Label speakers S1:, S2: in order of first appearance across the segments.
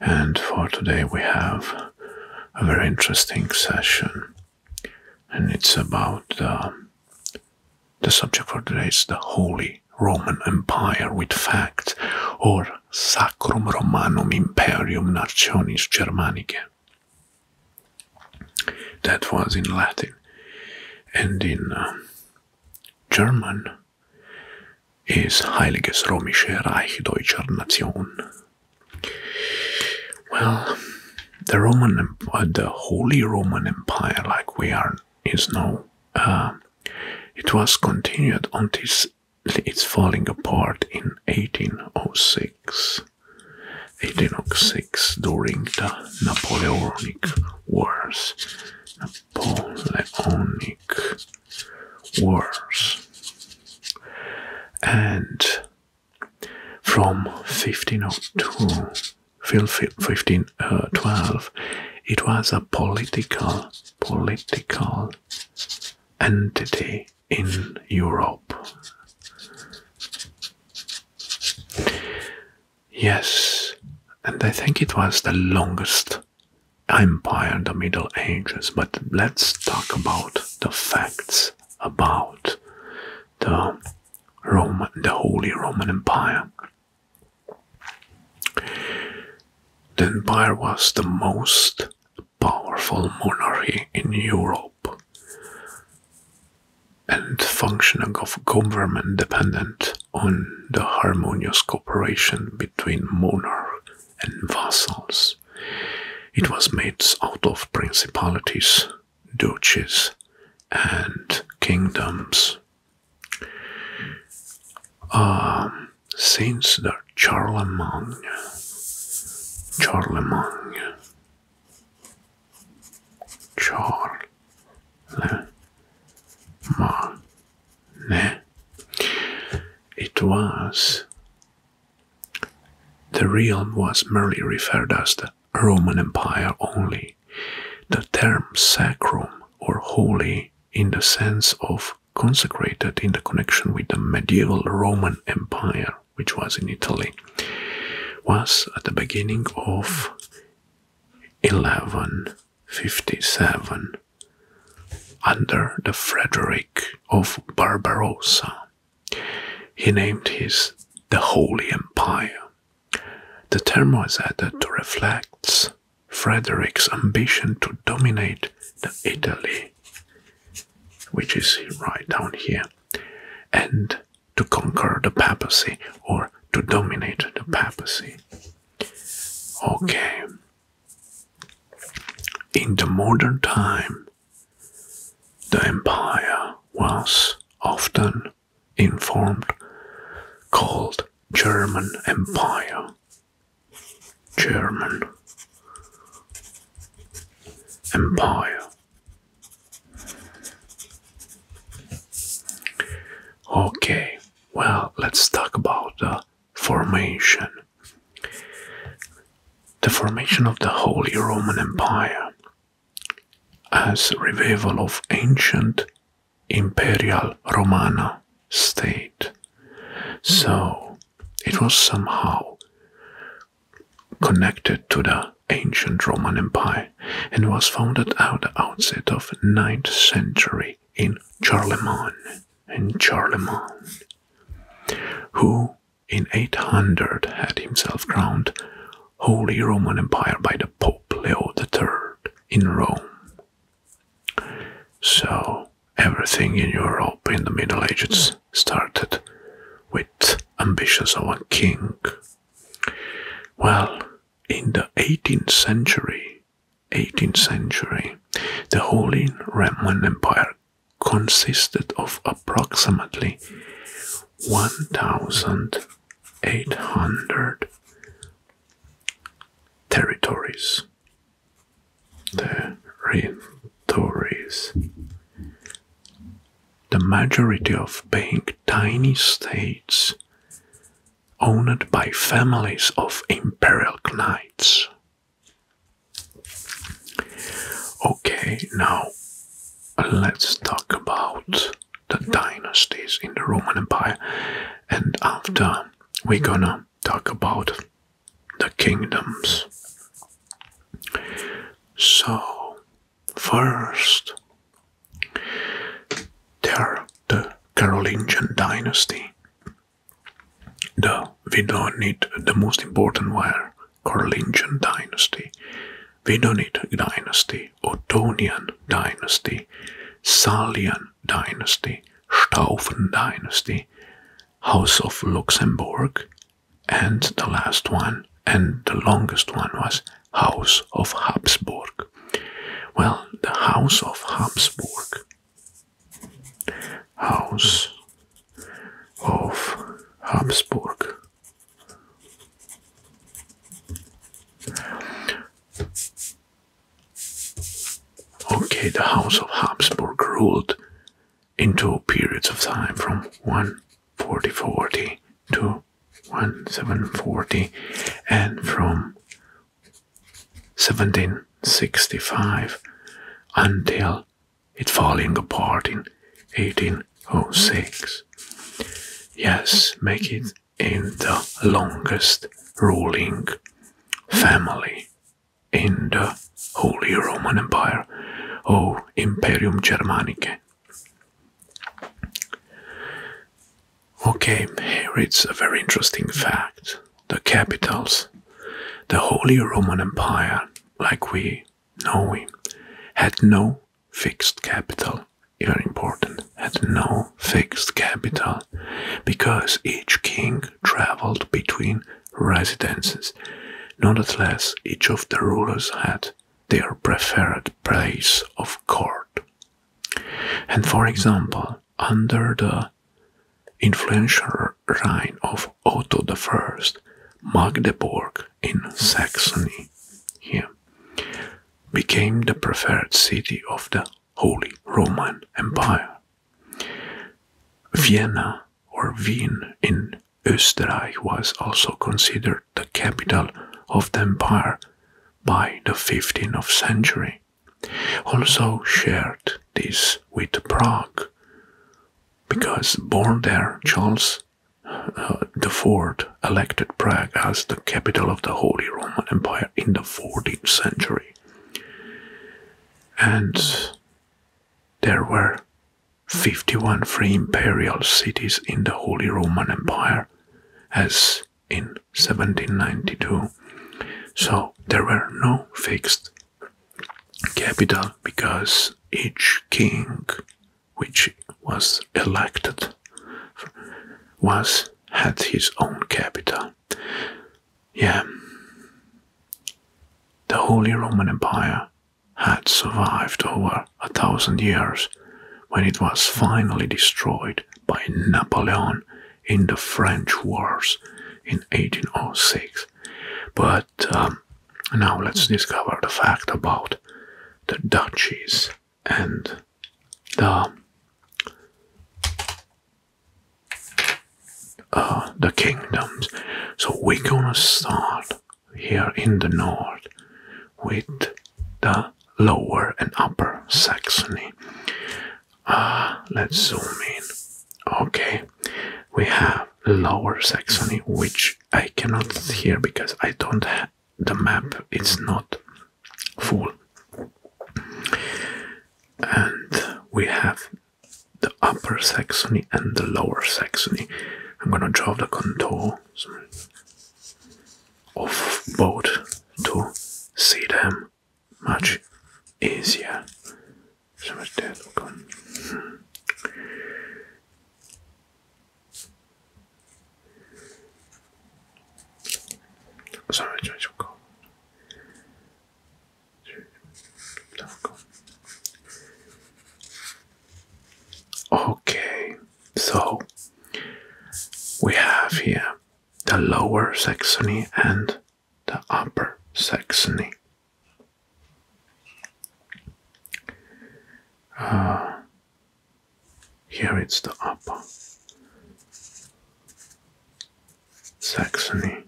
S1: And for today, we have a very interesting session, and it's about the subject for today is the Holy Roman Empire with facts, or Sacrum Romanum Imperium Nationis Germanica. That was in Latin, and in uh, German ist Heiliges Römische Reich Deutscher Nation. Well, the Roman, uh, the Holy Roman Empire, like we are, is now. Uh, it was continued until its falling apart in 1806. 1806 during the Napoleonic Wars. Napoleonic wars. And from 1502 1512 uh, it was a political political entity in Europe yes and I think it was the longest empire in the Middle Ages, but let's talk about the facts about the Rome, the Holy Roman Empire. The empire was the most powerful monarchy in Europe and functioning of government dependent on the harmonious cooperation between monarch and vassals. It was made out of principalities, duchies, and kingdoms. Um, since the Charlemagne, Charlemagne, Charlemagne, it was. The realm was merely referred as the Roman Empire only. The term sacrum or holy in the sense of consecrated in the connection with the medieval Roman Empire, which was in Italy, was at the beginning of 1157 under the Frederick of Barbarossa. He named his the Holy Empire. The term was added to reflect Frederick's ambition to dominate Italy, which is right down here, and to conquer the papacy or to dominate the papacy. Okay, in the modern time, the empire was often informed called German Empire. German Empire. Okay, well, let's talk about the formation the formation of the Holy Roman Empire as a revival of ancient imperial Romana state. So it was somehow connected to the ancient Roman Empire and was founded at the outset of 9th century in Charlemagne. In Charlemagne who in 800 had himself crowned Holy Roman Empire by the Pope Leo III in Rome. So, everything in Europe in the Middle Ages started with ambitions of a king. Well, in the 18th century, 18th century, the Holy Roman Empire consisted of approximately 1,800 territories. Territories. The majority of being tiny states owned by families of imperial knights. Okay, now let's talk about the mm-hmm. dynasties in the Roman Empire, and after mm-hmm. we're gonna talk about the kingdoms. So, first, there the Carolingian dynasty the we don't need the most important were Carolingian dynasty, Vidonid dynasty, Ottonian dynasty, Salian dynasty, Staufen dynasty, House of Luxembourg, and the last one and the longest one was House of Habsburg. Well, the House of Habsburg House of Habsburg. Okay, the House of Habsburg ruled in two periods of time from 1440 to 1740 and from 1765 until it falling apart in 1806. Yes, make it in the longest ruling family in the Holy Roman Empire, or Imperium Germanicae. Okay, here it's a very interesting fact the capitals, the Holy Roman Empire, like we know it, had no fixed capital. Very important, had no fixed capital because each king traveled between residences. Nonetheless, each of the rulers had their preferred place of court. And for example, under the influential reign of Otto I, Magdeburg in Saxony here became the preferred city of the Holy Roman Empire. Vienna or Wien in Österreich was also considered the capital of the empire by the 15th century, also shared this with Prague, because born there, Charles IV uh, elected Prague as the capital of the Holy Roman Empire in the 14th century. And there were 51 free imperial cities in the Holy Roman Empire, as in 1792. So there were no fixed capital because each king which was elected was had his own capital. Yeah. The Holy Roman Empire had survived over a thousand years when it was finally destroyed by Napoleon in the French Wars in 1806 but um, now let's discover the fact about the duchies and the uh, the kingdoms. So we're gonna start here in the north with the lower and upper Saxony. Ah, let's zoom in. Okay, we have Lower Saxony, which I cannot hear because I don't have the map, it's not full. And we have the Upper Saxony and the Lower Saxony. I'm gonna draw the contour of both to see them much easier. So much dead hmm. Okay, so we have here the lower saxony and the Upper Saxony. Uh, here it's the Upper Saxony.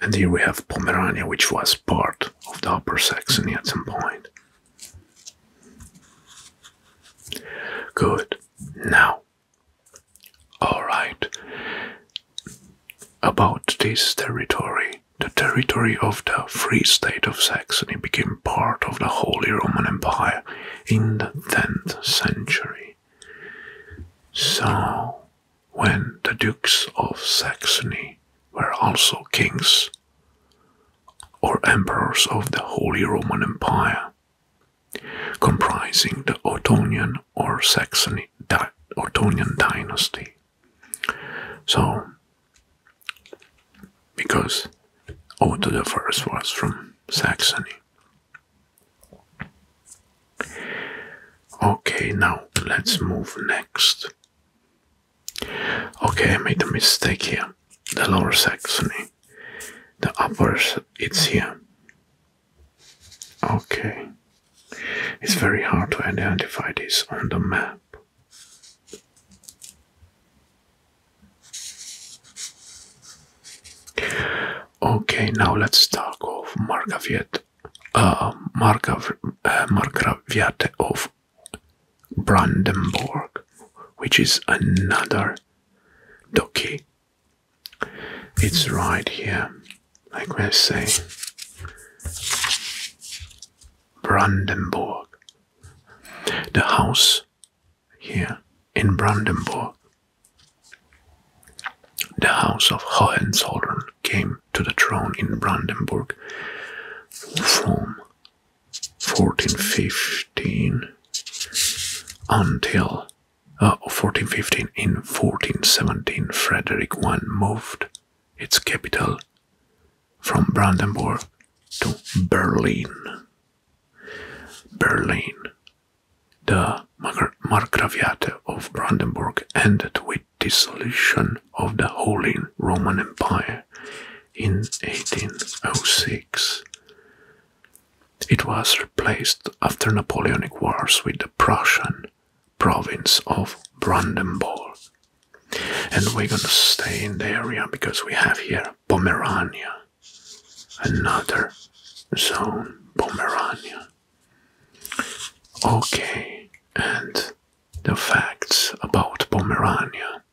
S1: And here we have Pomerania, which was part of the Upper Saxony at some point. Good. Now, all right. About this territory, the territory of the Free State of Saxony became part of the Holy Roman Empire in the 10th century. So, when the Dukes of Saxony were also kings, or emperors of the Holy Roman Empire, comprising the Ottonian or Saxony Ottonian dynasty. So, because Otto the First was from Saxony. Okay, now let's move next Okay, I made a mistake here. The lower Saxony. The upper, it's here. Okay. It's very hard to identify this on the map. Okay, now let's talk of Margaviet, uh, Margav, uh, of Brandenburg, which is another doki. It's right here, like I say. Brandenburg. The house here in Brandenburg, the house of Hohenzollern came to the throne in Brandenburg from 1415 until 1415 uh, in 1417 Frederick I moved its capital from Brandenburg to Berlin. Berlin, the Margraviate of Brandenburg ended with dissolution of the Holy Roman Empire in 1806. It was replaced after Napoleonic Wars with the Prussian province of Brandenburg. And we're gonna stay in the area because we have here Pomerania, another zone, Pomerania. Okay, and the facts about Pomerania.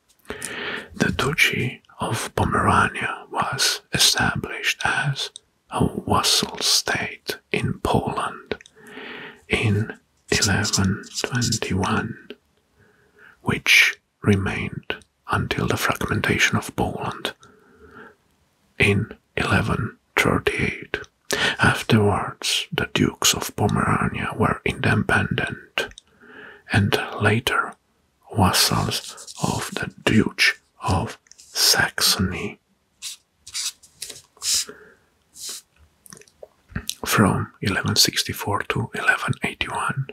S1: The Duchy of Pomerania was established as a vassal state in Poland in 1121, which remained until the fragmentation of Poland in 1138. Afterwards, the Dukes of Pomerania were independent and later vassals of the Duke of Saxony. From 1164 to 1181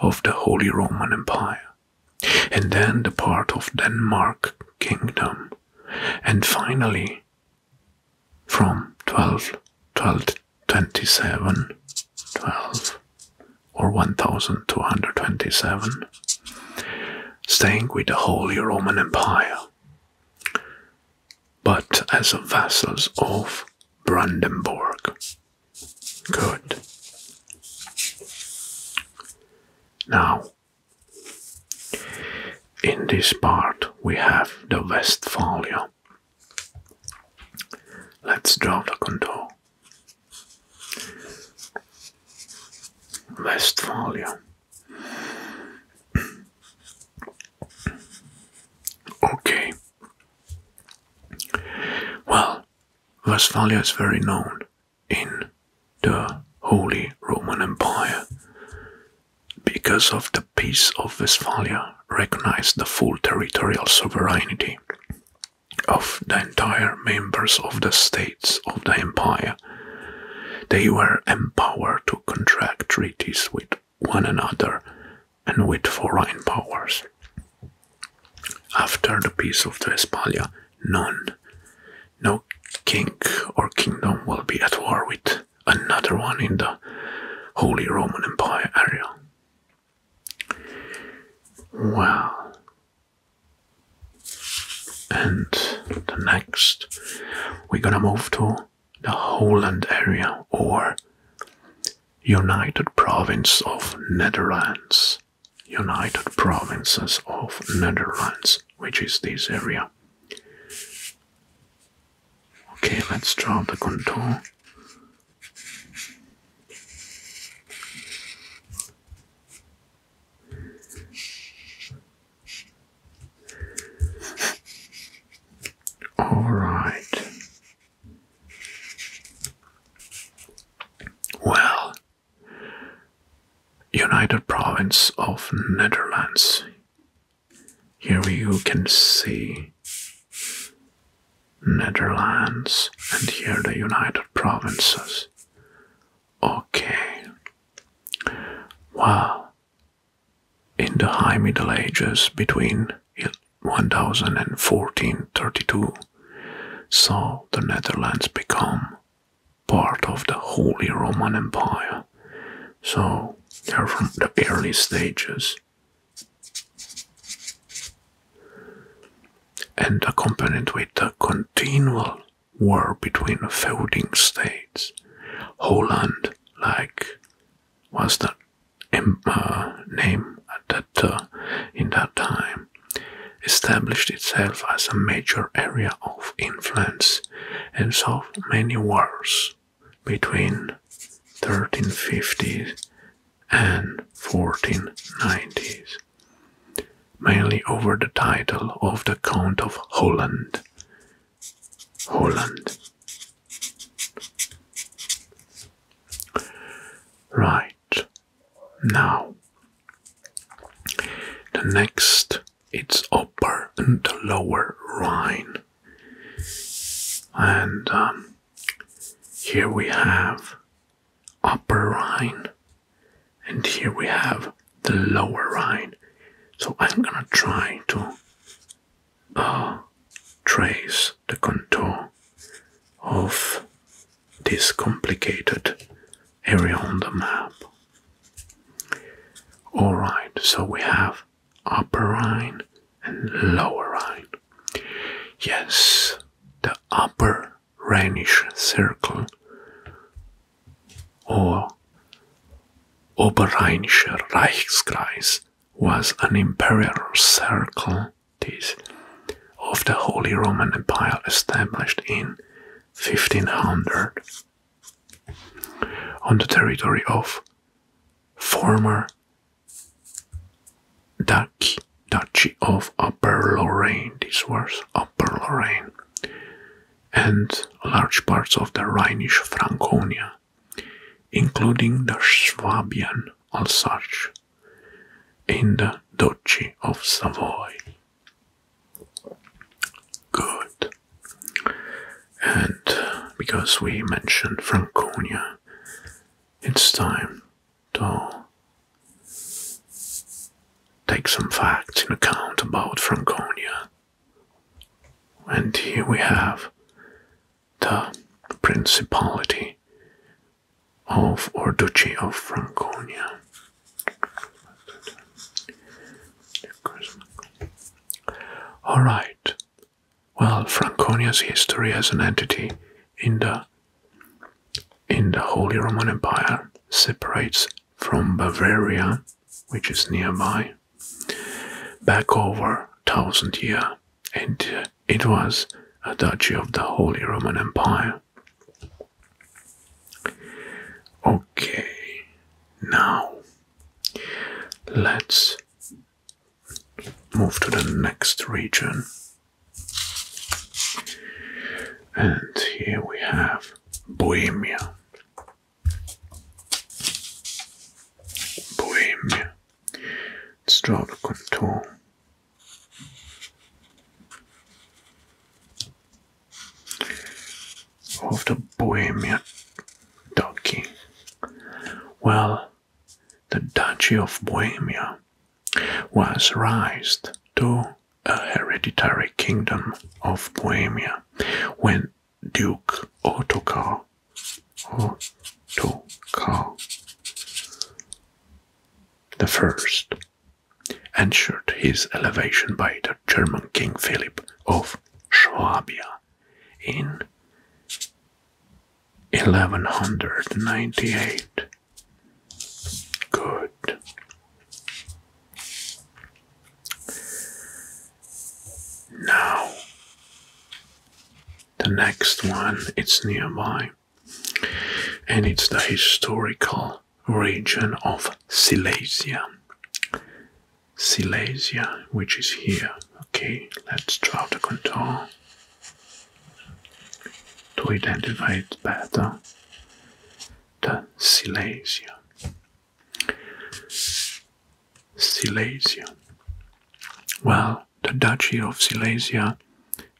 S1: of the Holy Roman Empire, and then the part of Denmark Kingdom, and finally from 12, 27, or 1227, staying with the Holy Roman Empire, but as vassals of Brandenburg. Good. Now, in this part we have the Westphalia, Let's draw the contour. Westphalia. Okay. Well, Westphalia is very known in the Holy Roman Empire because of the Peace of Westphalia recognized the full territorial sovereignty of the entire members of the states of the empire. They were empowered to contract treaties with one another and with foreign powers. After the Peace of Westphalia, none, no king or kingdom will be at war with another one in the Holy Roman Empire area. Well, and the next, we're gonna move to the Holland area or United Province of Netherlands. United Provinces of Netherlands, which is this area. Okay, let's draw the contour. All right. Well, United Province of Netherlands. Here you can see Netherlands, and here the United Provinces. Okay. Well, in the High Middle Ages between 1000 and 1432, so the Netherlands become part of the Holy Roman Empire. So they're from the early stages and accompanied with a continual war between feuding states. Holland, like, was the uh, name that, uh, in that time, established itself as a major area of influence and saw many wars between 1350s and 1490s, mainly over the title of the Count of Holland. Holland. Right. Now, the next it's Upper and Lower Rhine. And um, here we have Upper Rhine, and here we have the Lower Rhine. So I'm gonna try to uh, trace the contour of this complicated area on the map. Alright, so we have Upper Rhine, and Lower Rhine. Yes, the Upper Rhenish Circle or Oberrheinischer Reichskreis was an imperial circle this, of the Holy Roman Empire established in 1500 on the territory of former Duchy, Duchy of Upper Lorraine. This was Upper Lorraine. And large parts of the Rhinish Franconia, including the Swabian Alsace, in the Duchy of Savoy. Good. And because we mentioned Franconia, it's time to take some facts in account about Franconia. And here we have the Principality of or of Franconia. Alright, well, Franconia's history as an entity in the in the Holy Roman Empire separates from Bavaria, which is nearby, back over thousand year, and it was a duchy of the Holy Roman Empire. Okay, now let's move to the next region. And here we have Bohemia. Bohemia. Strada contour. Of the Bohemia Ducky. Well, the Duchy of Bohemia was raised to a hereditary kingdom of Bohemia when Duke Ottokar, Ottokar the First ensured his elevation by the German King Philip of Swabia in 1198. Good. Now, the next one it's nearby, and it's the historical region of Silesia. Silesia, which is here. Okay, let's draw the contour to identify it better the Silesia. Silesia. Well, the Duchy of Silesia,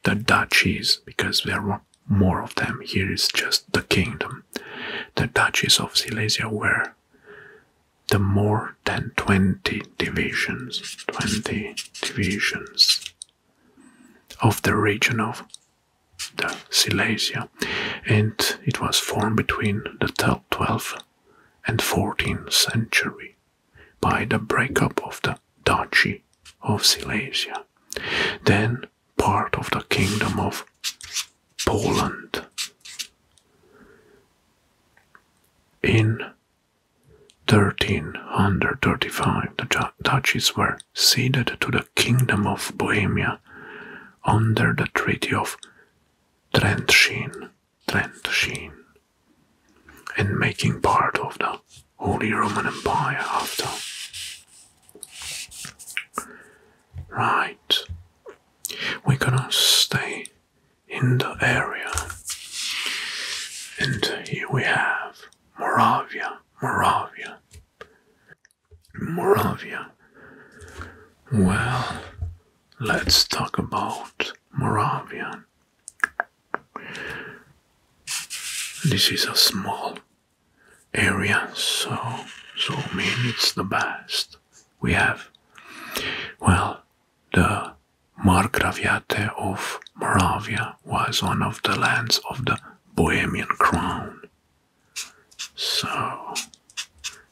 S1: the duchies, because there were more of them, here is just the kingdom. The duchies of Silesia were the more more than 20 divisions, 20 divisions of the region of the Silesia, and it was formed between the 12th and 14th century by the breakup of the Duchy of Silesia, then part of the Kingdom of Poland. In 1335, the duchies were ceded to the Kingdom of Bohemia under the Treaty of Trentschin, Trentschin and making part of the Holy Roman Empire after. Right, we're gonna stay in the area. And here we have Moravia, Moravia, Moravia. Well, let's talk about Moravia. This is a small area, so so I it's the best we have. Well, the Margraviate of Moravia was one of the lands of the Bohemian crown. So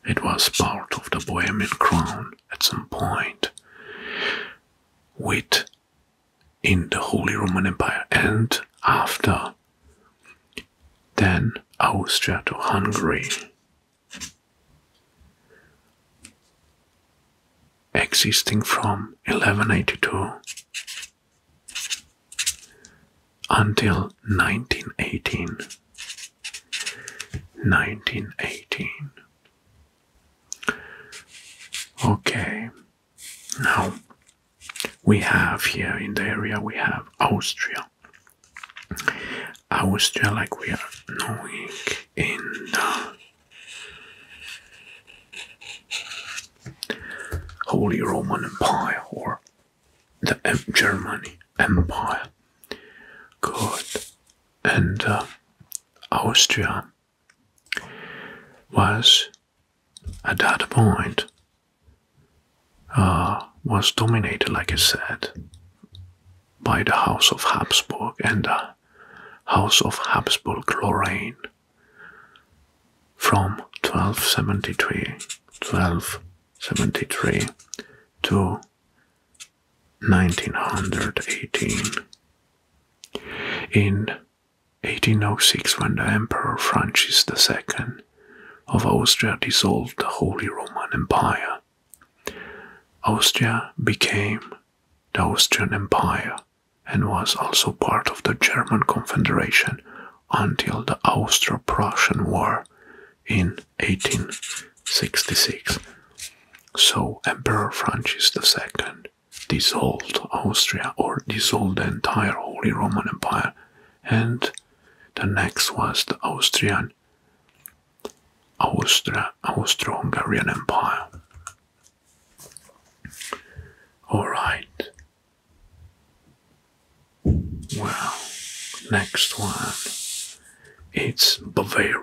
S1: it was part of the Bohemian crown at some point with in the Holy Roman Empire and after then Austria to Hungary existing from 1182 until 1918. 1918. Okay, now we have here in the area we have Austria. Austria, like we are knowing in the uh, Holy Roman Empire or the M Germany Empire. Good. And uh, Austria was at that point uh, was dominated, like I said, by the House of Habsburg and uh, House of Habsburg Lorraine from 1273, 1273 to 1918. In 1806, when the Emperor Francis II of Austria dissolved the Holy Roman Empire, Austria became the Austrian Empire and was also part of the German Confederation until the Austro-Prussian War in 1866. So Emperor Francis II dissolved Austria or dissolved the entire Holy Roman Empire and the next was the Austrian Austria, Austro-Hungarian Empire. All right. Well, next one. It's Bavaria.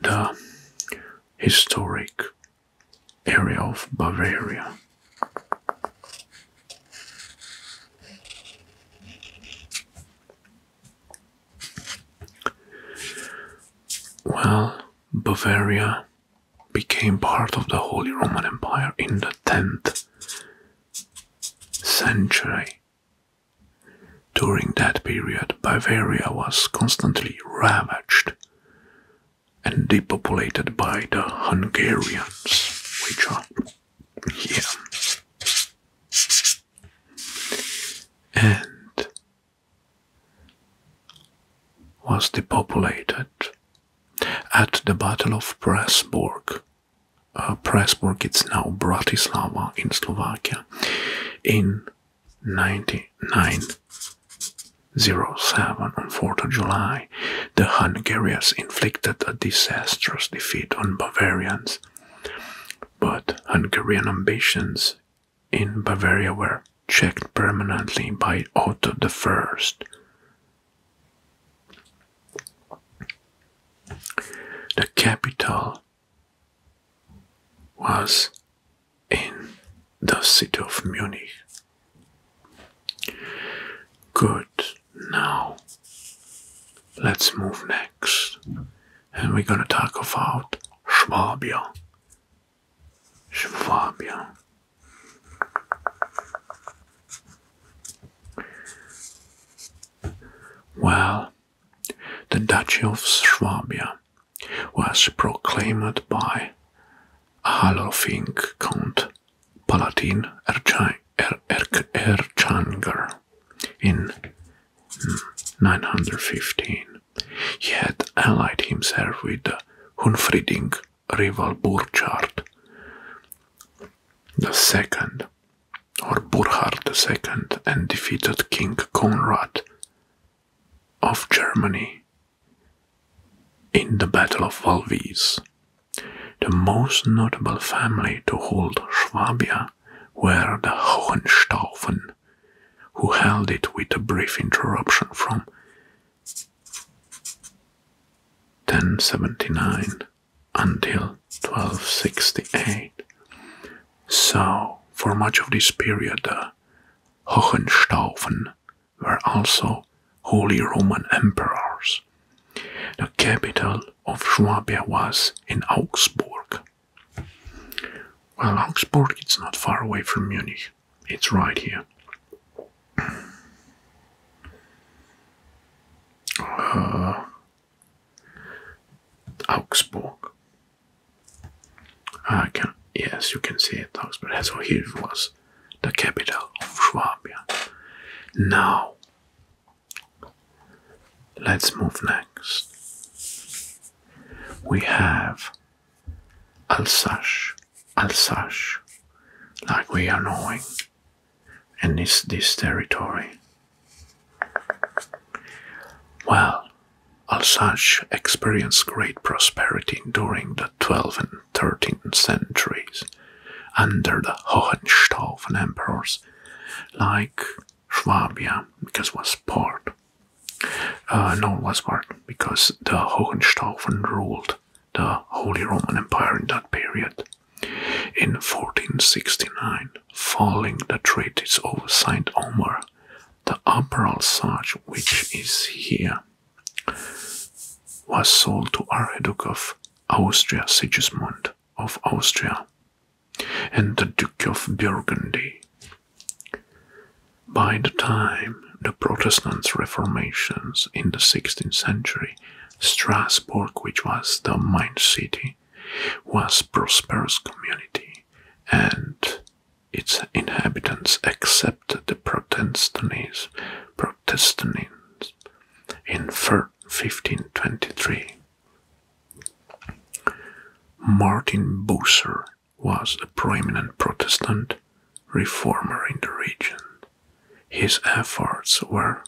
S1: The historic area of Bavaria. Well, Bavaria became part of the Holy Roman Empire in the 10th century. During that period, Bavaria was constantly ravaged and depopulated by the Hungarians, which are here. And was depopulated. At the Battle of Pressburg, uh, Pressburg it's now Bratislava in Slovakia, in 9907, on 4th of July, the Hungarians inflicted a disastrous defeat on Bavarians. But Hungarian ambitions in Bavaria were checked permanently by Otto I. The capital was in the city of Munich. Good, now let's move next and we're going to talk about Swabia. Schwabia. Well, the Duchy of Swabia was proclaimed by Halofing Count Palatine er- er- Erchanger in 915. He had allied himself with Hunfriding rival Burchard II or Burchard II and defeated King Conrad of Germany in the Battle of Valvis. The most notable family to hold Swabia were the Hohenstaufen, who held it with a brief interruption from 1079 until 1268. So, for much of this period, the Hohenstaufen were also Holy Roman emperors. The capital of Swabia was in Augsburg. Well, Augsburg, it's not far away from Munich. It's right here. Uh, Augsburg. I can, yes, you can see it, Augsburg. So here it was, the capital of Swabia. Now, let's move next we have Alsace, Alsace, like we are knowing, in this territory. Well, Alsace experienced great prosperity during the 12th and 13th centuries under the Hohenstaufen emperors, like Schwabia, because was part. Uh, no, was part because the Hohenstaufen ruled the Holy Roman Empire in that period. In 1469, following the treaties of Saint Omer, the upper Alsace, which is here, was sold to Archduke of Austria Sigismund of Austria and the Duke of Burgundy. By the time the Protestant reformations in the 16th century, Strasbourg, which was the main city, was prosperous community, and its inhabitants accepted the Protestantism, Protestantism in 1523. Martin Bucer was a prominent Protestant reformer in the region. His efforts were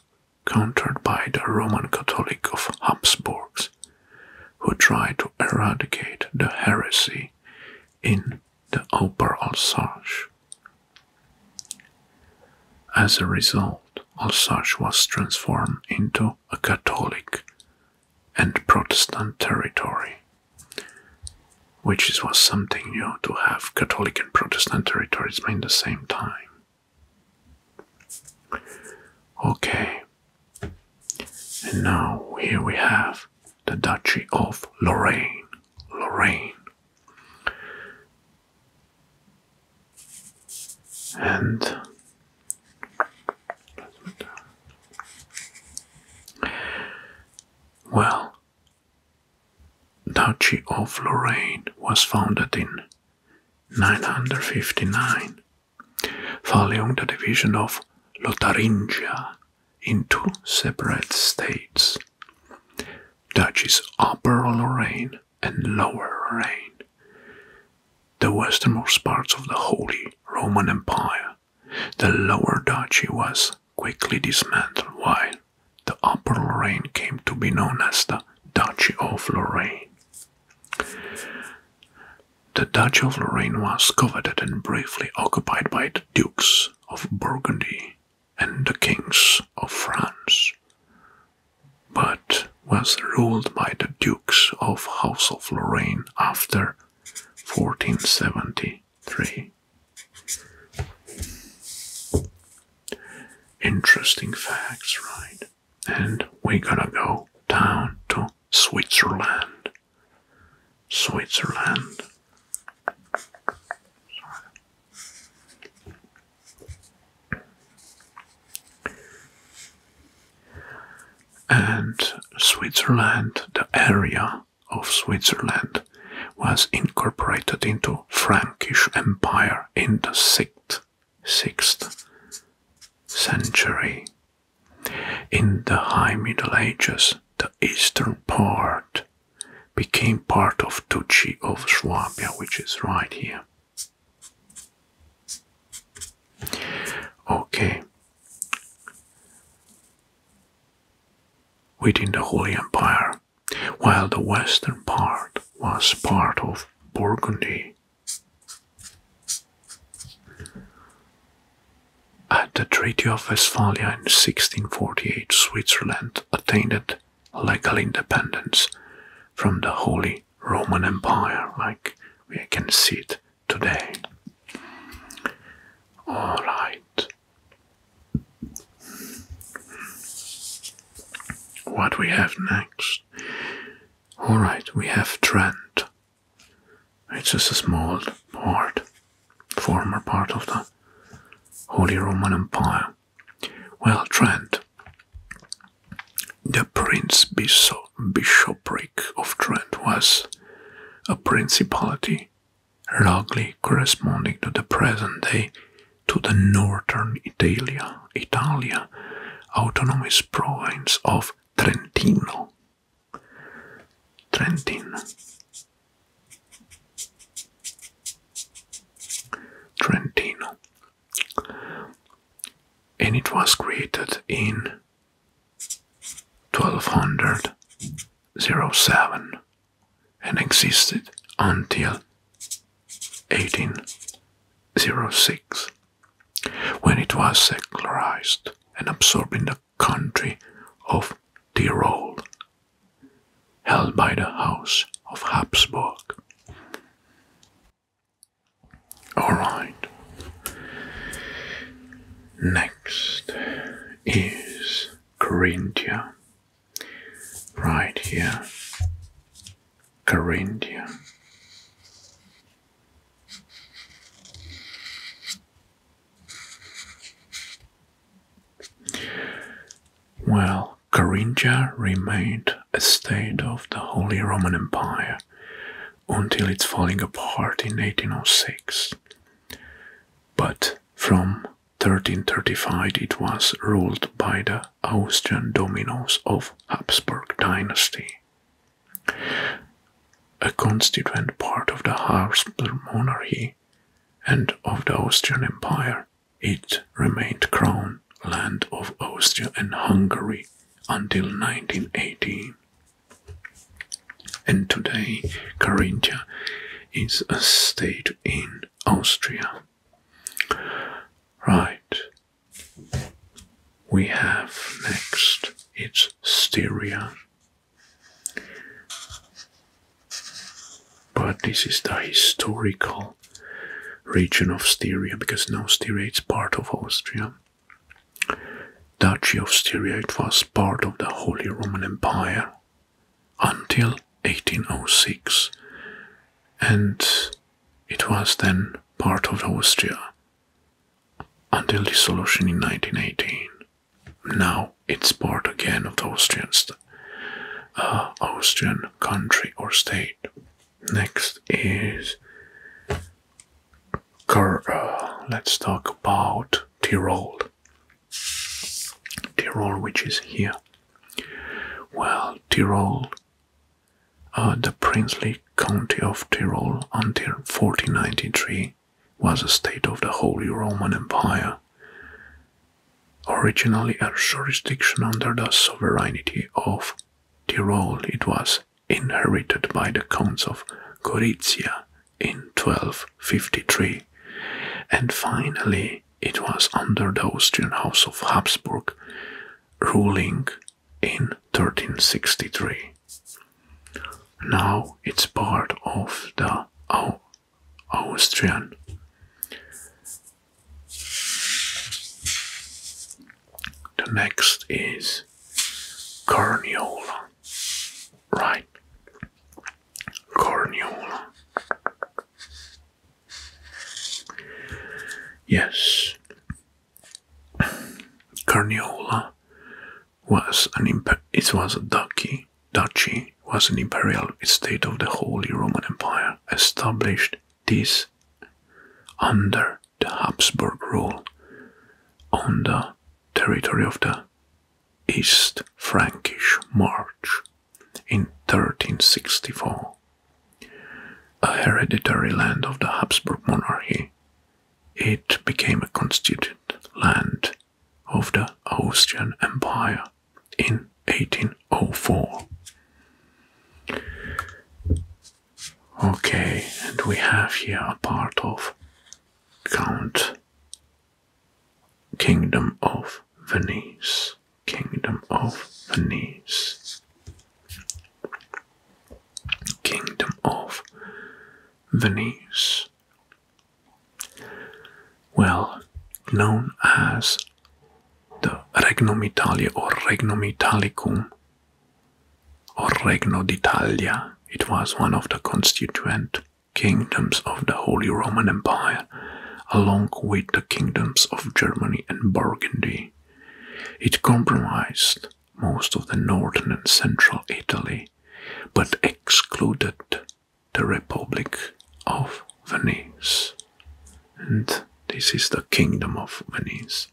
S1: countered by the Roman Catholic of Habsburgs, who tried to eradicate the heresy in the Upper Alsace. As a result, Alsace was transformed into a Catholic and Protestant territory, which was something new to have Catholic and Protestant territories in the same time. Okay, and now here we have the Duchy of Lorraine. Lorraine. And well, Duchy of Lorraine was founded in 959, following the division of Lotharingia into separate states, Duchies Upper Lorraine and Lower Lorraine. The westernmost parts of the Holy Roman Empire, the lower duchy was quickly dismantled, while the upper Lorraine came to be known as the Duchy of Lorraine. The Duchy of Lorraine was coveted and briefly occupied by the Dukes of Burgundy and the Kings of France, but was ruled by the Duke of House of Lorraine after 1473. Interesting facts, right? And we're gonna go down to Switzerland. Switzerland and Switzerland, the area of Switzerland, was incorporated into Frankish Empire in the 6th, 6th century. In the High Middle Ages, the eastern part became part of Duchy of Swabia, which is right here. Okay, within the Holy Empire, while the western part was part of Burgundy. At the Treaty of Westphalia in 1648, Switzerland attained legal independence from the Holy Roman Empire, like we can see it today. All right. What we have next? All right, we have Trent. It's just a small part, former part of the Holy Roman Empire. Well, Trent the Prince Bishopric of Trent was a principality, roughly corresponding to the present day to the northern Italia, Italia autonomous province of Trentino. Trentin. Trentino. And it was created in 1207 and existed until 1806 when it was secularized and absorbed in the country of Tyrol, held by the House of Habsburg. All right. Next is Carinthia, Right here. Carinthia. Well, Carinthia remained a state of the Holy Roman Empire until it's falling apart in 1806. But from 1335 it was ruled by the Austrian dominos of Habsburg dynasty. A constituent part of the Habsburg monarchy and of the Austrian Empire, it remained crown land of Austria and Hungary until 1918. And today, Carinthia is a state in Austria. Right. We have next it's Styria. But this is the historical region of Styria because now Styria is part of Austria. Duchy of Styria. It was part of the Holy Roman Empire until 1806, and it was then part of Austria until dissolution in 1918. Now it's part again of the Austrian, uh, Austrian country or state. Next is uh, let's talk about Tyrol. Tyrol, which is here. Well, Tyrol, uh, the princely county of Tyrol until 1493 was a state of the Holy Roman Empire, originally a jurisdiction under the sovereignty of Tyrol. It was inherited by the Counts of Gorizia in 1253, and finally it was under the Austrian House of Habsburg, ruling in 1363. Now it's part of the Au Austrian The next is Carniola right corneola. Yes, Carniola was an it was a duchy. Duchy was an imperial state of the Holy Roman Empire, established this under the Habsburg rule on the territory of the East Frankish March in 1364. A hereditary land of the Habsburg monarchy, it became a constituent land of the Austrian Empire in 1804. Okay, and we have here a part of Count Kingdom of Venice. Kingdom of Venice. Kingdom of Venice. Well, known as the Regnum Italia or Regnum Italicum or Regno d'Italia. It was one of the constituent kingdoms of the Holy Roman Empire, along with the kingdoms of Germany and Burgundy. It comprised most of the northern and central Italy, but excluded the Republic of Venice. And this is the Kingdom of Venice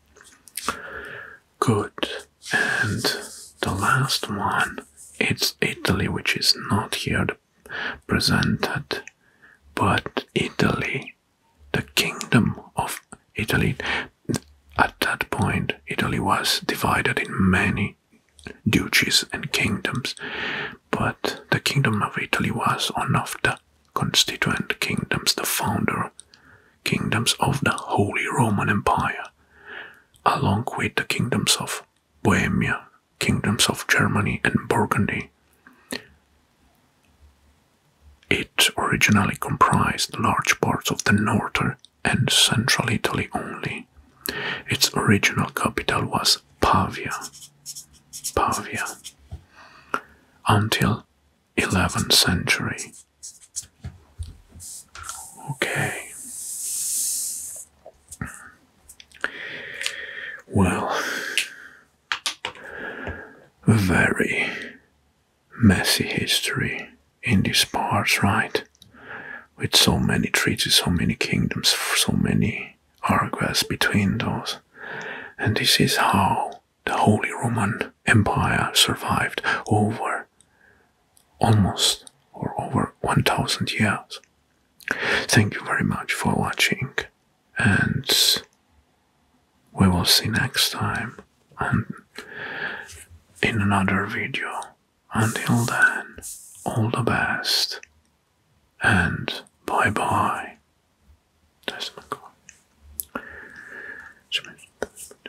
S1: good. And the last one, it's Italy, which is not here presented, but Italy, the kingdom of Italy. At that point, Italy was divided in many duchies and kingdoms, but the kingdom of Italy was one of the constituent kingdoms, the founder kingdoms of the Holy Roman Empire, along with the kingdoms of Bohemia, kingdoms of Germany and Burgundy. It originally comprised large parts of the northern and central Italy only. Its original capital was Pavia. Pavia. Until 11th century Okay. Well, very messy history in these parts, right? With so many treaties, so many kingdoms, so many arguments between those. And this is how the Holy Roman empire survived over almost or over 1000 years. Thank you very much for watching and we will see next time and in another video. Until then, all the best and bye bye.